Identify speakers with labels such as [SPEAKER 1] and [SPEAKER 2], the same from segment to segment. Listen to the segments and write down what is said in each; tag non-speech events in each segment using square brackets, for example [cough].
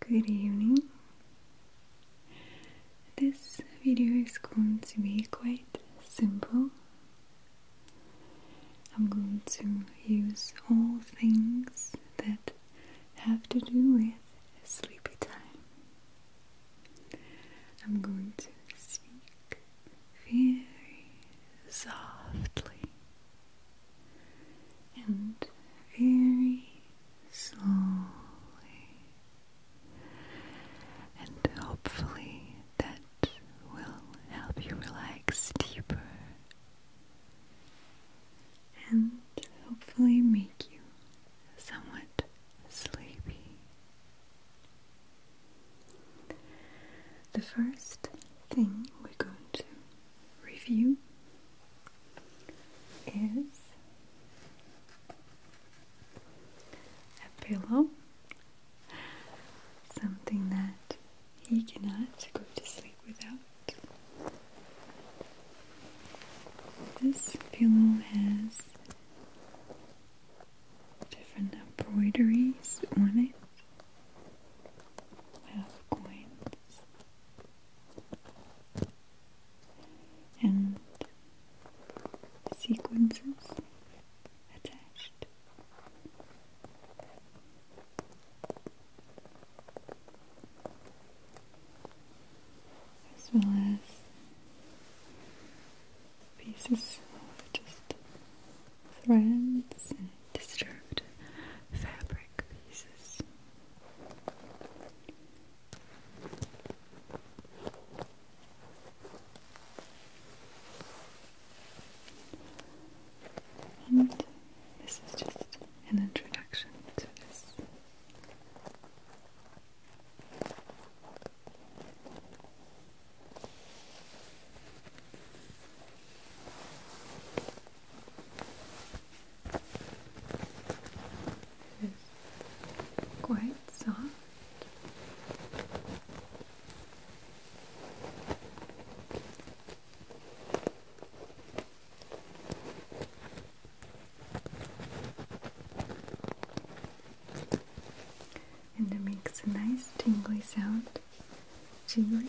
[SPEAKER 1] Good evening. This video is going to be quite simple. I'm going to use all things that have to do with sleepy time. I'm going to speak very softly and very slowly, and hopefully that will help you relax deeper and hopefully make you somewhat sleepy. The first thing we're going to review is a pillow, something that he cannot go to sleep without. This pillow has different embroideries on it. I have coins and sequences attached. As well as pieces of just threads disturbed fabric pieces. And this is just an introduction to this. It is quite soft. And it makes a nice tingly sound, tingly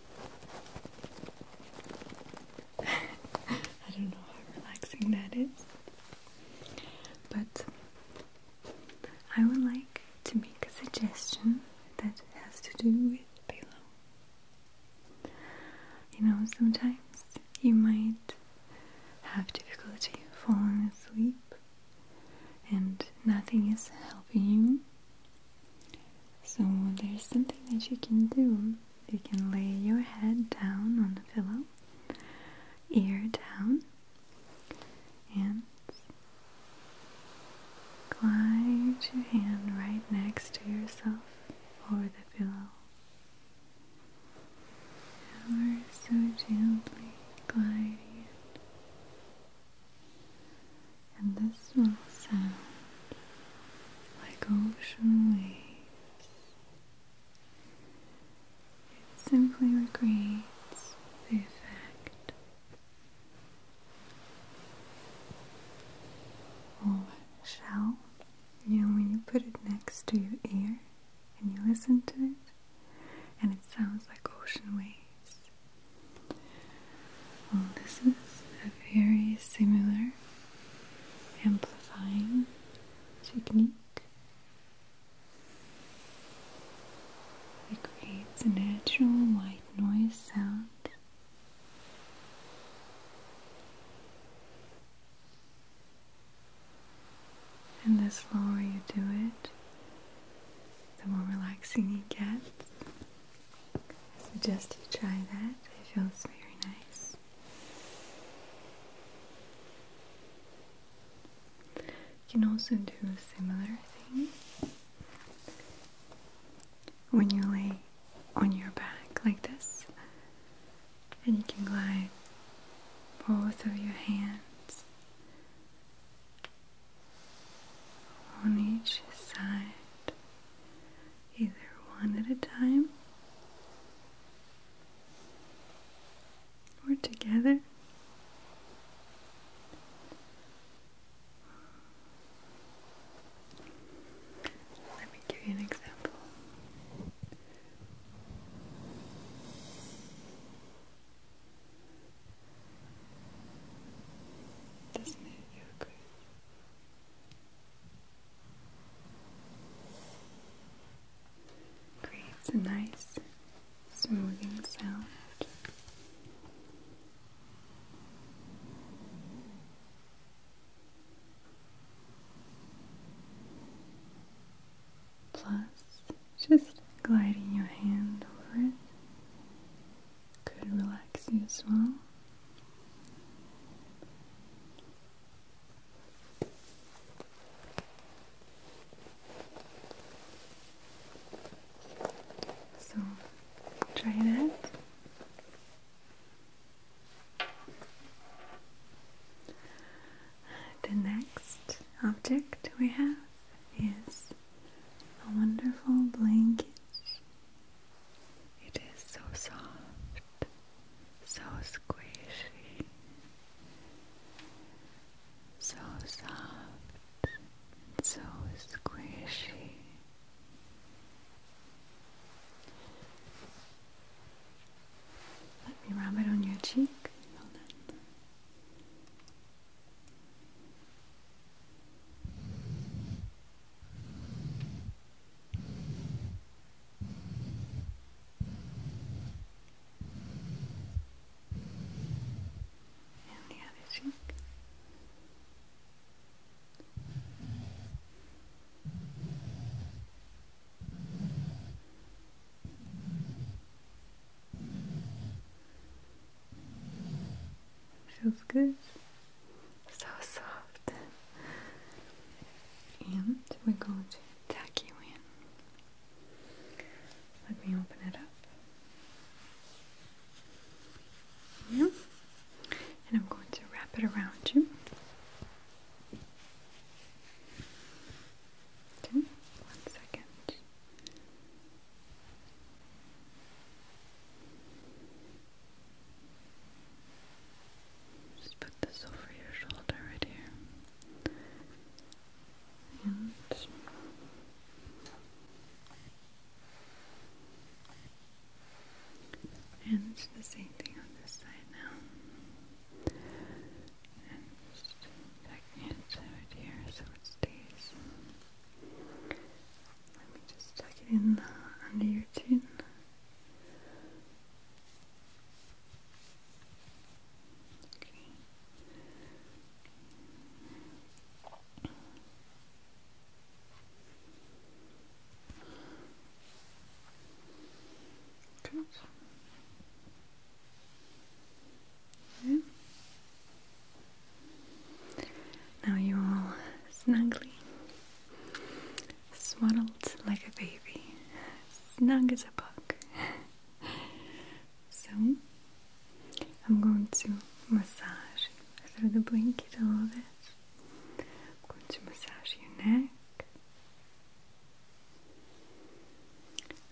[SPEAKER 1] [laughs] I don't know how relaxing that is, but I would like to make a suggestion that has to do with pillow. You know, sometimes you might have difficulty falling asleep and nothing is helping you so there's something that you can do. You can lay your head down on the pillow, ear down, and glide your hand right next to yourself over the pillow. Ever so gently gliding it. And this will sound like ocean waves. It simply recreates the effect. Or shell, you when you put it next to your ear and you listen to it, and it sounds like ocean waves. Well, this is a very similar amplifying technique. It creates a natural white noise sound. And the slower you do it, the more relaxing you get. I Suggest you try that. It feels very nice. You can also do a similar thing when you lay on your back like this, and you can glide both of your hands on each side either one at a time or together. Let me give you an example. Creates a nice smoothing sound. Plus, just gliding your hand over it could relax you as well. So try that. The next object we have is a wonderful blanket it is so soft, so squishy, so soft, so squishy. Let me rub it on your cheek. Hold on. And the Feels good so soft. And we're going to tuck you in. Let me open it up. Yeah. And I'm going to wrap it around you. Okay, one second. Just put this over your shoulder right here. And and it's the same thing on this side now. And just it right here so it stays. Let me just tuck it in under your chin. Okay. Now you're all swaddled like a baby, snug as a bug. so, I'm going to massage through the blanket a little bit. I'm going to massage your neck.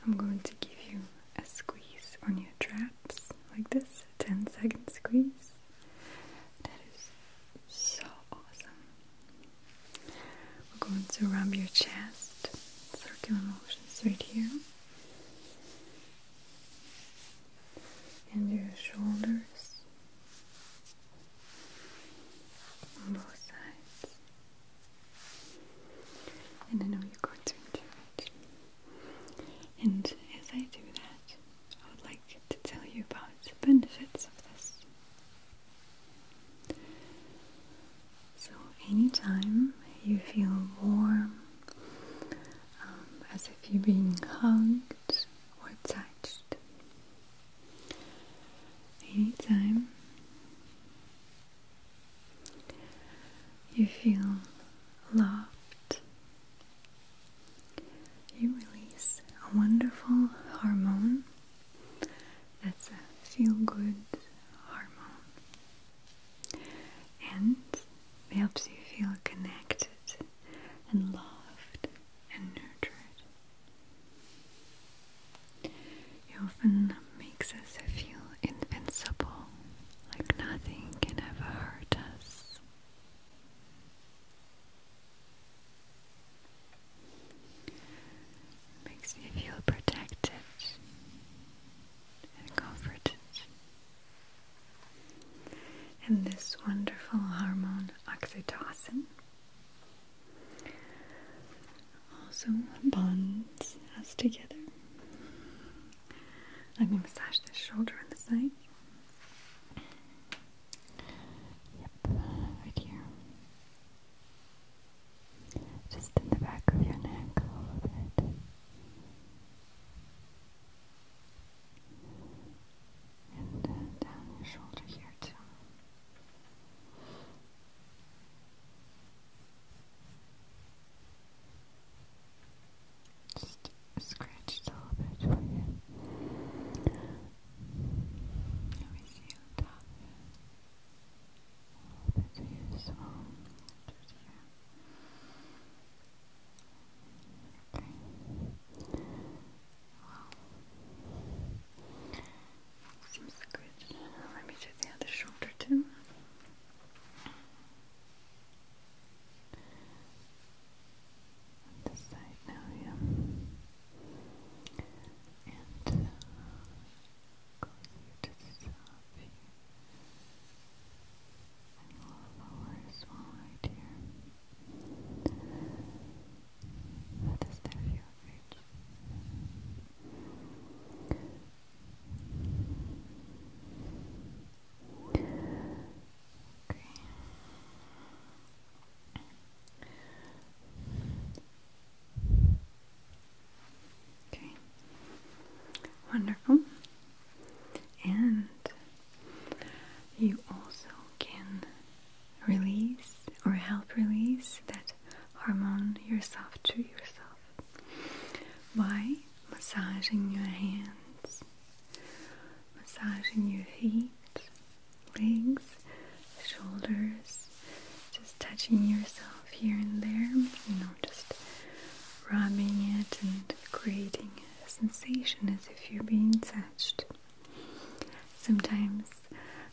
[SPEAKER 1] I'm going to give you a squeeze on your traps, like this, a 10 second squeeze. That is so awesome. We're going to rub your chest, circular motions right here, and your shoulders on both sides. And I know you're going to enjoy it. And as I do that, I would like to tell you about the benefits of this. So, anytime you feel warm, um, as if you're being hugged or touched, anytime you feel loved you release a wonderful hormone that's a feel good hormone and it helps you feel connected and loved and nurtured. It often makes us feel invincible, like nothing can ever hurt us. Makes me feel protected and comforted. And this wonderful hormone, oxytocin, also bonds us together. Let me massage the shoulder and the side. Yep, right here. Just in the back of your neck a bit. And uh, down your shoulder here too. Just scratched a little bit for you resume top. That's useful. Just here. Okay. Well, seems good. Let me do the other shoulder too on this side now, yeah. And uh, to the here. And a little lower as right here. How does that feel, Rich? Okay. Okay. Wonderful. And you also can release or help release that hormone yourself to yourself by massaging your hands, massaging your feet, legs, shoulders, just touching yourself here and there, you know, just rubbing it and creating a sensation as if you're being touched. Sometimes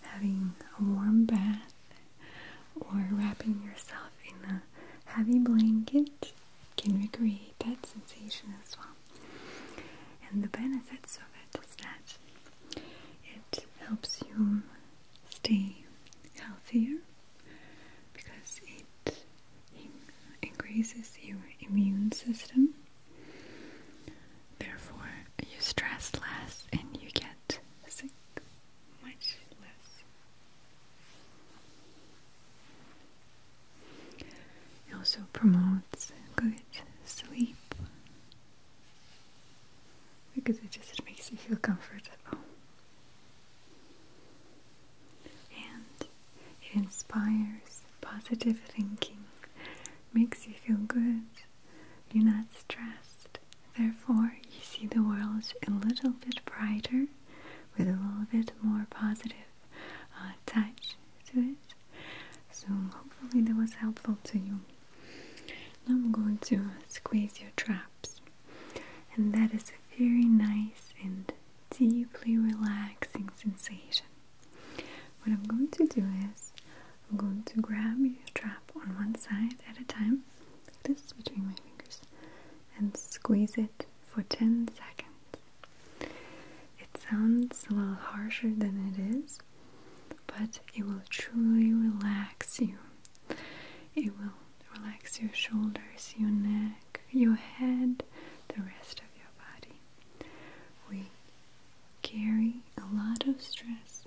[SPEAKER 1] having a warm bath or wrapping yourself in a heavy blanket can recreate that sensation as well. And the benefits of it is that it helps you stay healthier because it increases your immune system. Therefore, you stress less and you get sick much less. It also promotes good sleep because it just makes you feel comfortable. And it inspires positive thinking, makes you feel good, you're not stressed. Therefore, you see the world a little bit brighter with a little bit more positive uh, touch to it. So hopefully that was helpful to you. Now I'm going to squeeze your traps. And that is a very nice and deeply relaxing sensation. What I'm going to do is I'm going to grab your trap on one side at a time, like this between my fingers, and squeeze it for 10 seconds. It sounds a little harsher than it is, but it will truly relax you. It will relax your shoulders, your neck, your head, the rest of your body. We carry a lot of stress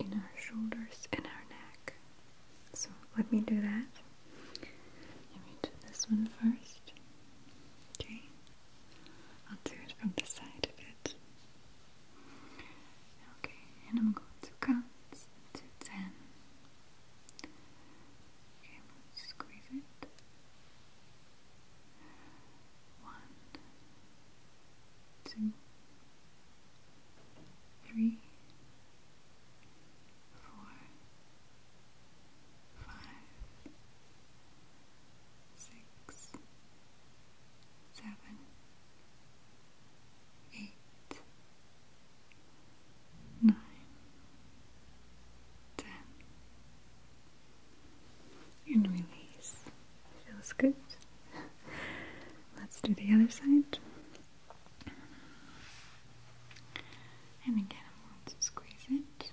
[SPEAKER 1] in our shoulders and our neck. So let me do that. Let me do this one first. Okay. I'll do it from the side of it. Okay, and I'm going to count to ten. Okay, squeeze it. One, two, three, four, five, six, seven, eight, nine, ten, and release. Feels good. Let's do the other side. And again, squeeze it.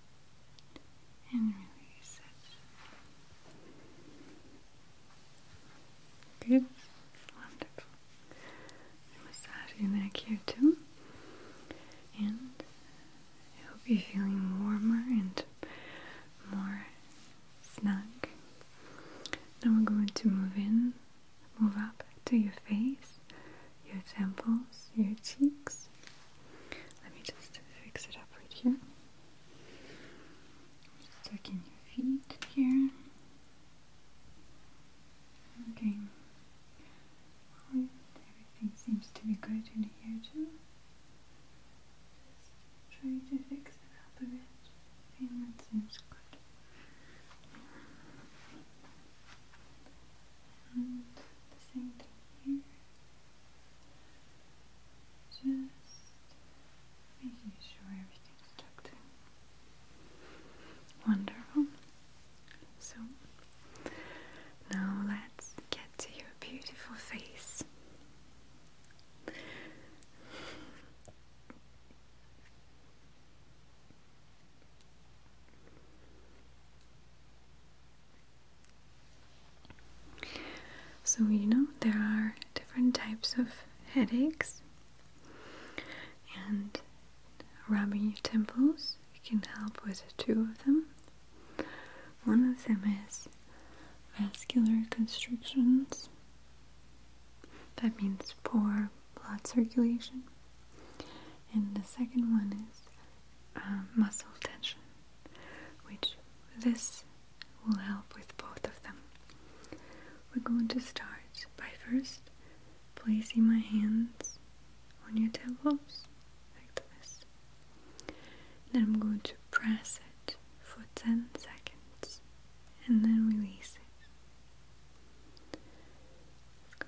[SPEAKER 1] and release it. Good, wonderful. Massage your neck here too, and I hope you're feeling warmer and more snug. Now we're going to move in, move up to your face your temples, your cheeks. Let me just fix it up right here. Just your feet here. Okay. everything seems to be good here too. Just try to fix it up a bit. I that seems good and the same thing here just making sure everything's tucked in wonderful so now let's get to your beautiful face so, you know, there are different types of headaches, and rubbing your temples can help with two of them. One of them is vascular constrictions, that means poor blood circulation, and the second one is uh, muscle tension, which this will help with both of them. We're going to start by first placing my hands on your temples like this. Then I'm going to press it for 10 seconds and then release it. Let's go.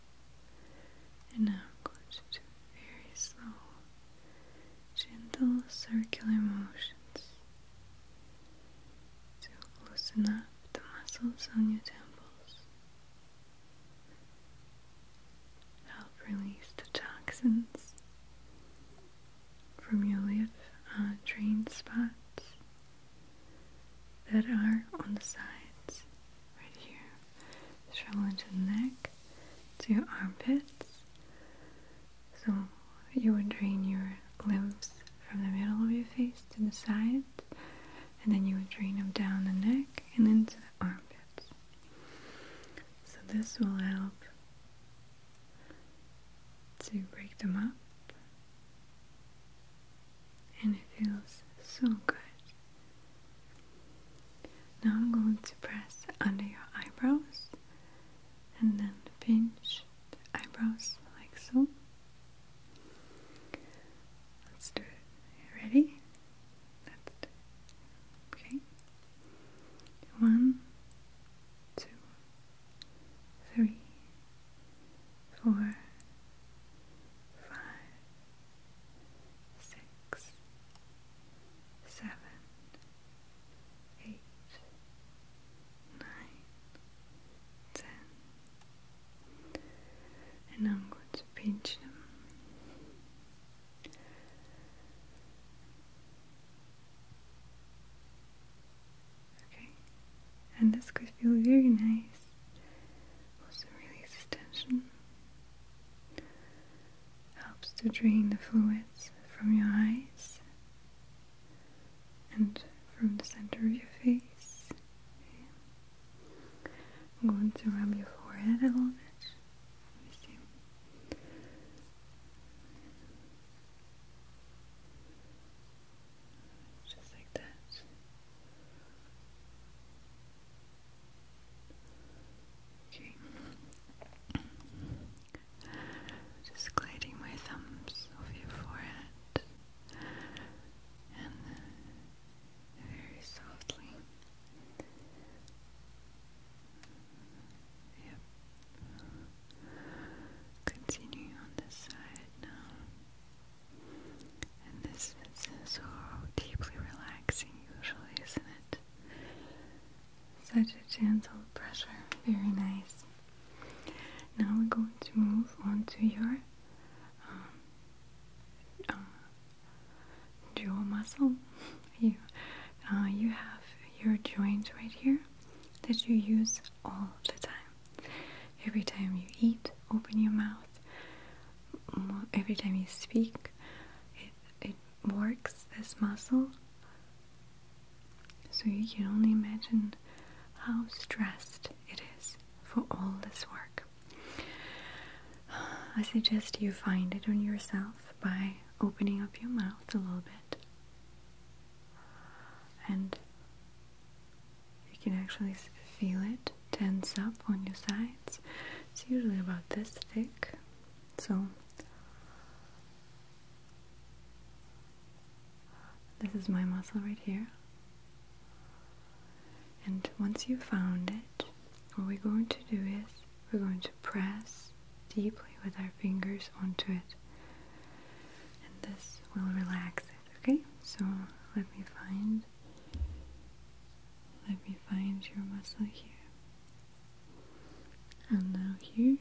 [SPEAKER 1] And now I'm going to do very slow, gentle circular motions to loosen up the muscles on your temples, help release the toxins from your lymph uh, drain spots that are on the sides right here shoulder to neck to your armpits. So you would drain your limbs from the middle of your face to the sides, and then you would drain them down the neck and into the armpits. So this will help to break them up, and it feels so good now I'm going to press under your eyebrows and then pinch the eyebrows like so. Let's do it. Ready? Let's Okay. One, two, three, four, five six, seven, eight, nine, ten, and I'm going to pinch them. Okay, and this could feel very nice. Also release tension helps to drain the fluids from your eyes and from the center of your face. Okay. I'm going to rub your forehead a little bit. Just like that. Just gliding my thumbs over your forehead and very softly. Yep. Continue on this side now. And this is so deeply relaxing usually, isn't it? Such a gentle pressure, very nice. Now we're going to move on to your um, uh, jaw muscle. [laughs] you, uh, you have your joint right here that you use all the time. Every time you eat, open your mouth, every time you speak, it, it works this muscle. So you can only imagine how stressed it is for all this work. I suggest you find it on yourself by opening up your mouth a little bit. And you can actually feel it tens up on your sides. It's usually about this thick. So this is my muscle right here. And once you've found it, what we're going to do is we're going to press deeply with our fingers onto it. And this will relax it, okay? So let me find let me find your muscle here. And now here.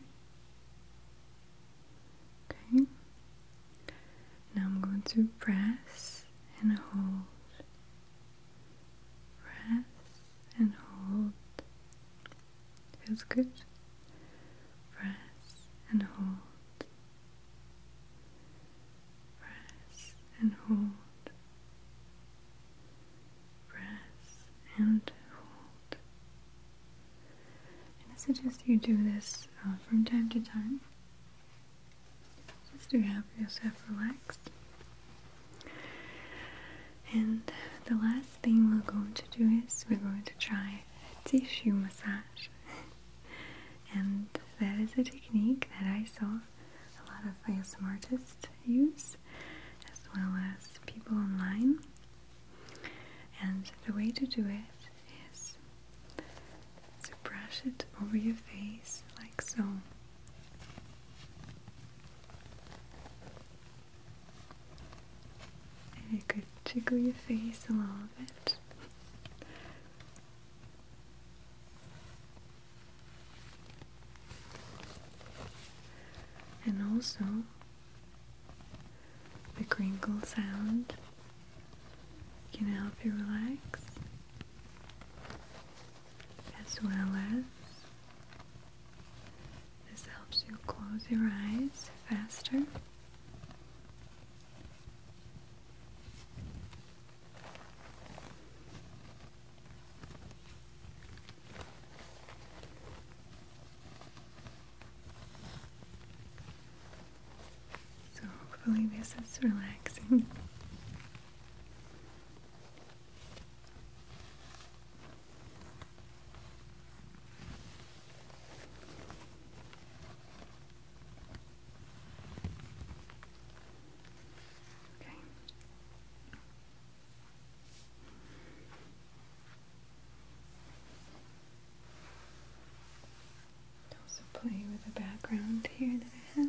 [SPEAKER 1] Okay. Now I'm going to press and hold. Press and hold. Feels good. Press and hold press and hold, press and hold. I suggest you do this uh, from time to time just to have yourself relax. And the last thing we're going to do is we're going to try tissue massage. [laughs] and that is a technique that I saw a lot of ASM artists use, as well as people online. And the way to do it is to brush it over your face, like so. And it could tickle your face a little bit. And also the crinkle sound can help you relax as well as this helps you close your eyes faster so hopefully this is relaxing. Also play with the background here that I have.